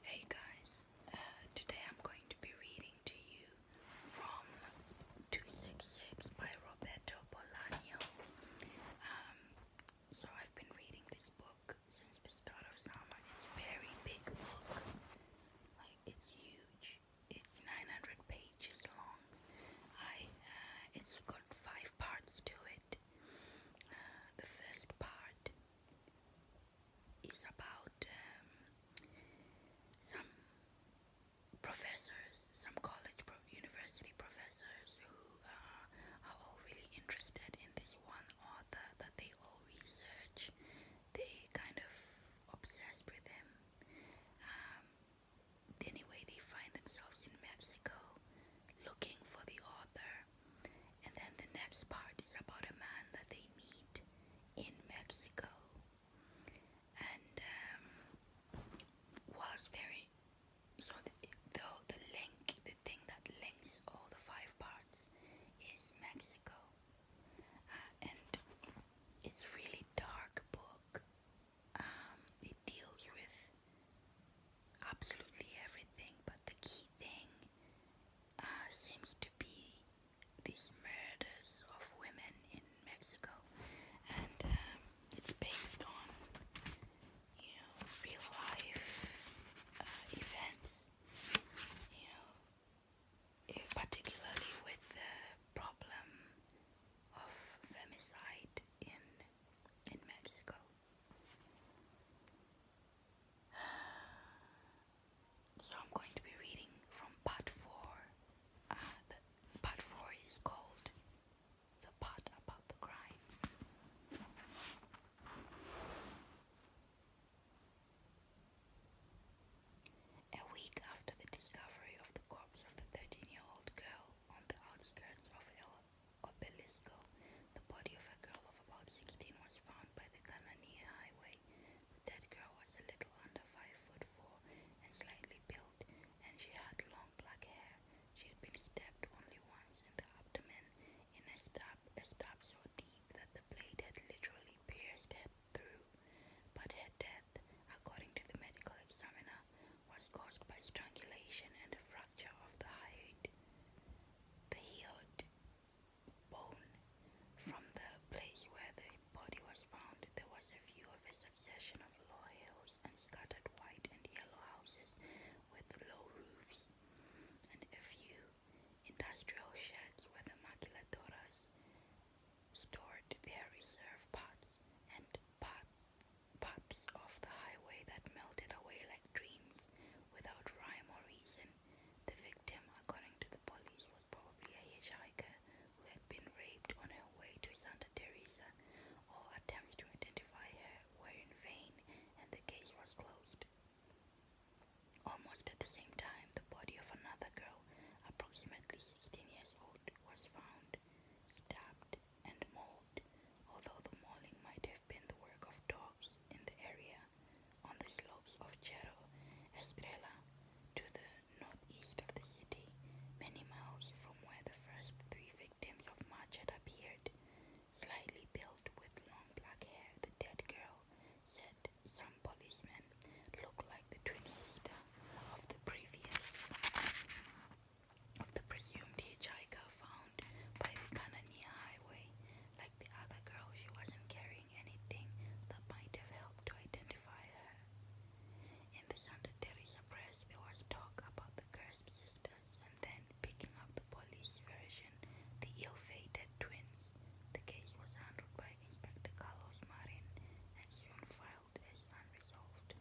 Hey guys, uh, today I'm going to be reading to you from 266 by Roberto Bolaño. Um, so I've been reading this book since the start of summer. It's very big book, like it's huge. It's 900 pages long. I uh, it's got five parts to it. Uh, the first part is about um, some professors, some college, pro university professors who uh, are all really interested in this one author that they all research. They kind of obsessed with him. Um, anyway, they find themselves in Mexico looking for the author and then the next part is about a man that they meet in Mexico. And um, whilst so the, the, link, the thing that links all the five parts is Mexico. Uh, and it's really dark book. Um, it deals with absolutely everything, but the key thing uh, seems to be these murders of women in Mexico, and um, it's based on you know real life uh, events, you know, eh, particularly with the problem of femicide in in Mexico. So I'm going to be reading from part four. Uh, part four is called the part about the crimes. A week after the discovery of the corpse of the 13 year old girl on the outskirts of El Obelisco. The body of a girl of about 16 was found by the Canania Highway. The dead girl was a little under 5 foot 4 and slightly built, and she had long black hair. She had been stabbed only once in the abdomen in a stab, a stab so deep that the blade had literally pierced her through. But her death, according to the medical examiner, was caused by strangulation and a fracture of the hyoid the healed bone from the place where the body was found. There was a view of a succession of low hills and scattered white and yellow houses with low roofs, and a few industrial sheds where the maquiladoras stored their reserve pots and part paths off the highway that melted away like dreams without rhyme or reason. The victim, according to the police, was probably a hitchhiker who had been raped on her way to Santa Teresa. All attempts to identify her were in vain, and the case was closed. Almost at the same time, the body of another girl, approximately 16 years old, was found, stabbed and mold, although the mauling might have been the work of dogs in the area on the slopes of Cerro Estrella to the northeast of the city, many miles from where the first three victims of March had appeared. Slightly built with long black hair, the dead girl said some policemen looked like the twin sister of the previous of the presumed hijacker found by the Canania Highway. Like the other girl, she wasn't carrying anything that might have helped to identify her. In the Santa Teresa press, there was talk about the cursed sisters, and then, picking up the police version, the ill fated twins. The case was handled by Inspector Carlos Marin and soon filed as unresolved.